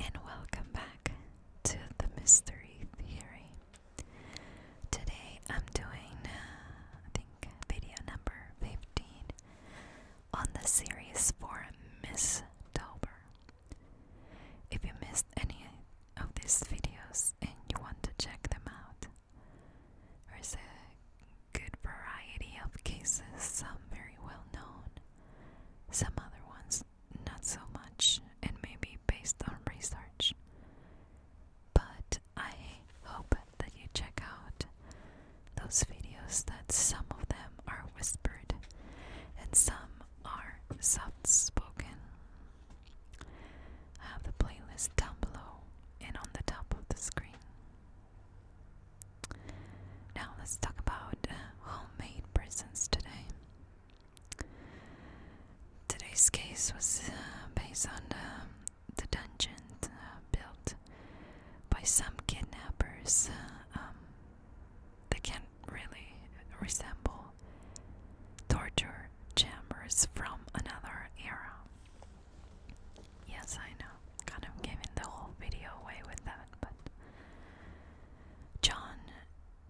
and welcome back to the Mystery Theory. Today I'm doing, uh, I think, video number 15 on the series for Miss Dober. If you missed any of these videos and you want to check them out, there's a good variety of cases, some very well known, some other ones not so much, and maybe based on research. But I hope that you check out those videos that some of them are whispered and some are soft spoken. I have the playlist down below and on the top of the screen. Now let's talk about uh, homemade prisons today. Today's case was uh, based on um, the dungeon uh, built by some kidnappers um, that can really resemble torture chambers from another era. Yes, I know, kind of giving the whole video away with that, but John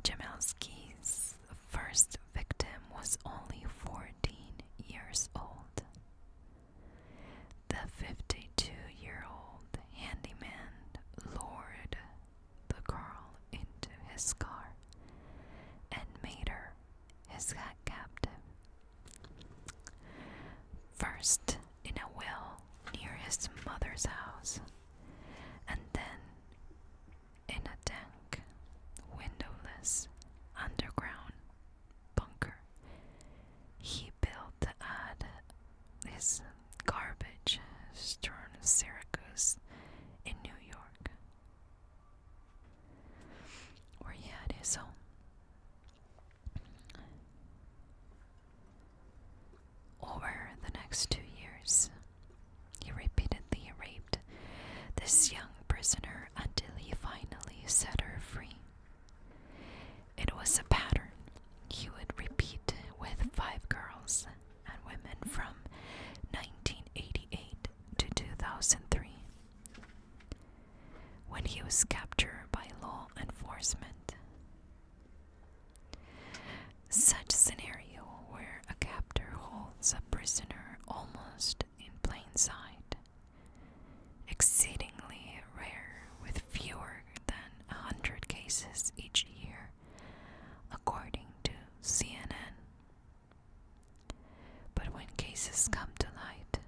Jamelski's first victim was only 14 years old. The 52 year old handyman lured the girl into his car and made her his captive. First, in a well near his mother's house, and then in a dank, windowless, underground bunker. He built the his garbage stern Syracuse in New York, where he had his home. Over the next two years, he repeatedly raped this young prisoner until he finally set her free. It was a pattern he would repeat with five girls and women from 1988 to 2003. When he was captured by law enforcement, such scenario where a captor holds a prisoner almost in plain sight, exceedingly rare with fewer than a hundred cases each year, according to CNN. But when cases come to light,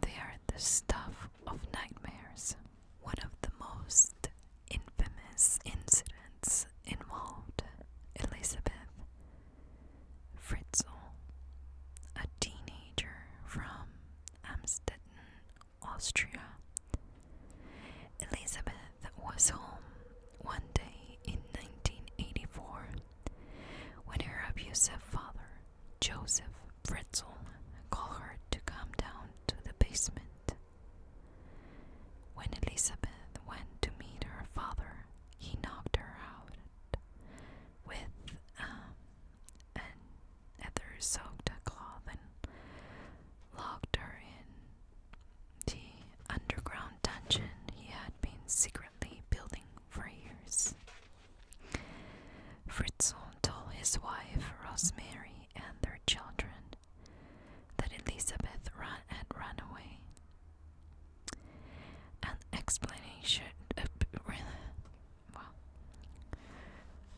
they are the stuff of nightmares. One of the most infamous incidents involved Elizabeth Fritzl, a teenager from Amstetten, Austria. Elizabeth was home one day in 1984 when her abusive father Joseph Fritzl called her to come down to the basement. When Elizabeth went to meet her father, he knocked her out with um, an ether soaked cloth and locked her in the underground dungeon he had been secretly building for years. Fritzl told his wife, Rosemary, and their children that Elizabeth ran and ran away. An explanation. Uh, well,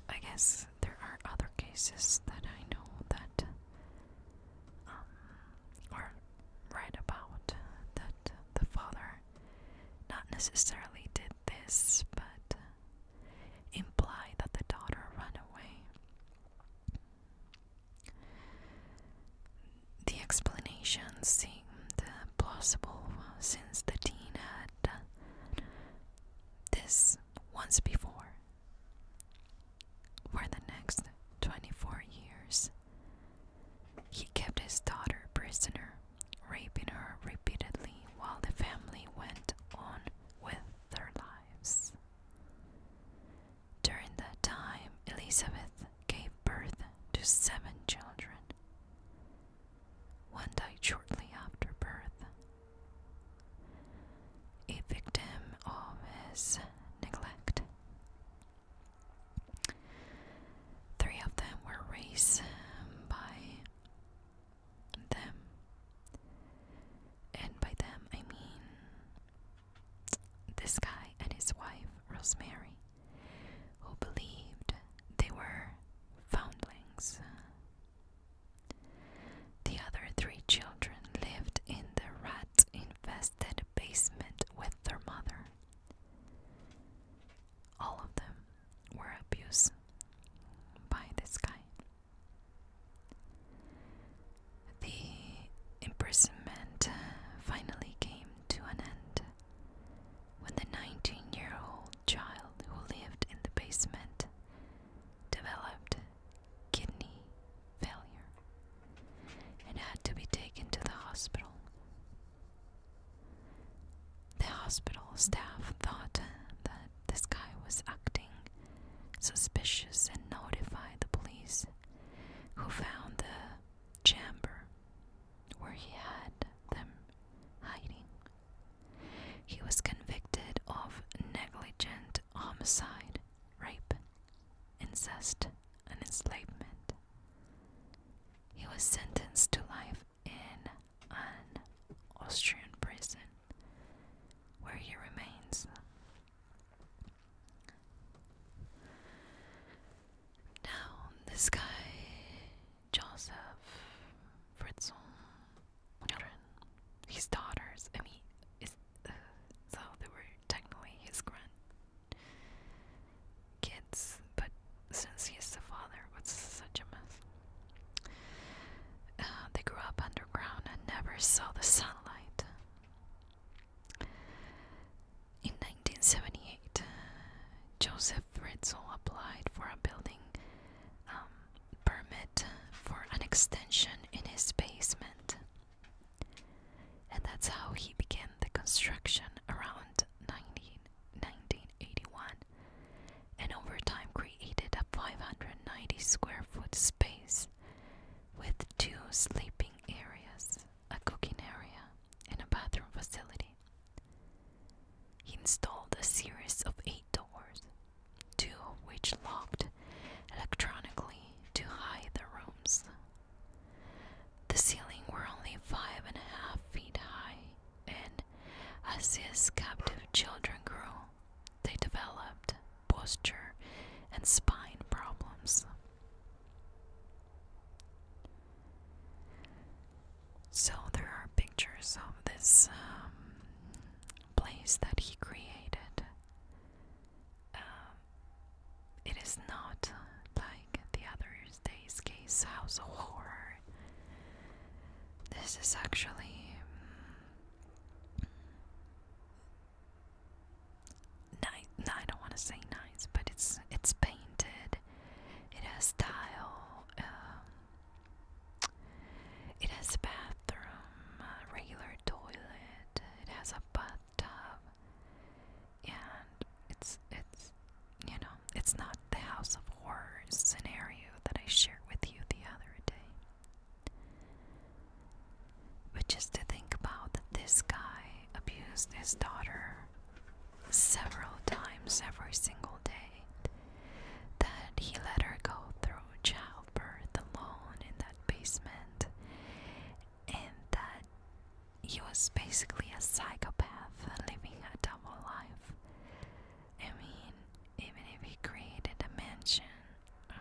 I guess there are other cases that I know that um, are right about that the father not necessarily did this, but imply that the daughter ran away. The explanation seemed plausible since the teen had this once before. For the next 24 years, he kept his daughter prisoner raping her repeatedly while the family went on with their lives. During that time, Elizabeth gave birth to seven children. One died shortly after birth. A victim of his neglect. Three of them were raised um, by them, and by them I mean this guy and his wife, Rosemary, who believed they were foundlings. The other three children lived in the rat infested basement with their mother all of them were abused by this guy. The imprisonment finally came to an end when the 19 year old child who lived in the basement developed kidney failure and had to be taken to the hospital. The hospital staff thought that this guy was acting suspicious and notified the police, who found the chamber where he had them hiding. He was convicted of negligent homicide, rape, incest, and enslavement. He was sentenced to life in an Austrian prison where he remains. Now, this guy, Joseph Fritzl, his daughters, I uh, so they were technically his grand kids, but since he's the father, what's such a mess? Uh, they grew up underground and never saw the sunlight. In 1978, Joseph Ritzel applied for a building um, permit for an extension in his basement. And that's how he began the construction around 1981 and over time created a 590 square foot space with two sleeping areas, a cooking area, and a bathroom facility. He installed a series of eight doors, two of which locked electronically to hide the rooms the ceiling were only five and a half feet high, and as his captive children grew, they developed posture and spine problems. So there are pictures of this um, place that he created um, it is not like the other day's case house of horror. This is actually mm, nice. I don't want to say nice, but it's it's painted. It has tile. Um, it has bathroom, uh, regular toilet. It has a bath tub and it's it's you know it's not the house of horrors scenario that I shared with you the other day but just to think about that this guy abused his daughter several times every single day that he let her go through childbirth alone in that basement and that he was basically a psychopath living a double life. I mean, even if he created a mansion. Uh,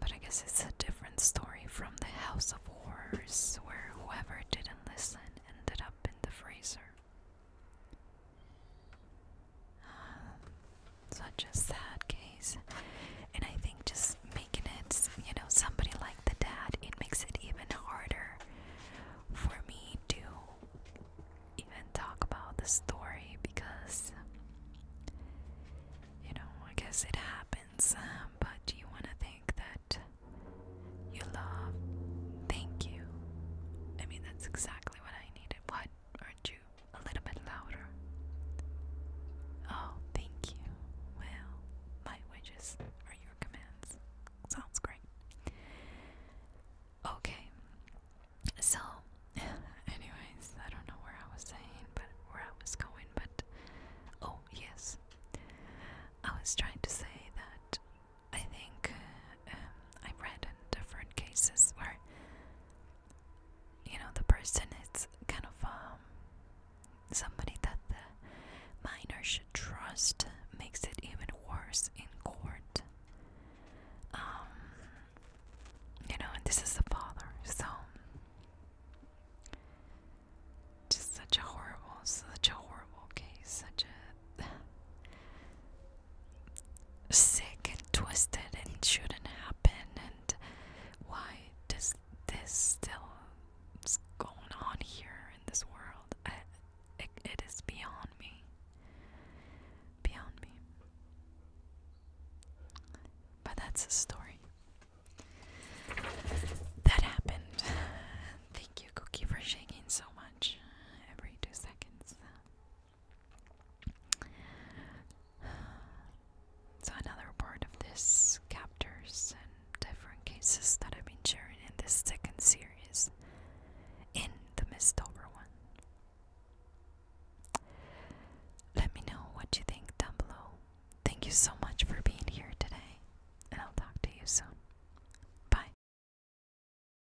but I guess it's a different story from the House of Horrors, where whoever didn't listen ended up in the freezer such a sad case. And I think just making it, you know, somebody like the dad, it makes it even harder for me to even talk about the story because, you know, I guess it happens, um, but you want to think that you love, thank you. I mean, that's exactly what I needed. What? Aren't you a little bit louder. Oh, thank you. Well, my wishes are your commands. Sounds great. Okay, so, anyways, I don't know where I was saying, but where I was going, but oh, yes, I was trying to say that I think uh, um, I've read in different cases where you know the person its kind of um, somebody that the minor should trust makes it even worse in court um, you know and this is the father so just such a horrible such a horrible case such a sick and twisted and shouldn't happen and why does this still going on here in this world it, it is beyond me beyond me but that's a story that happened thank you cookie for shaking so much every two seconds so, another part of this chapters and different cases that I've been sharing in this second series in the Mistover one. Let me know what you think down below. Thank you so much for being here today, and I'll talk to you soon. Bye.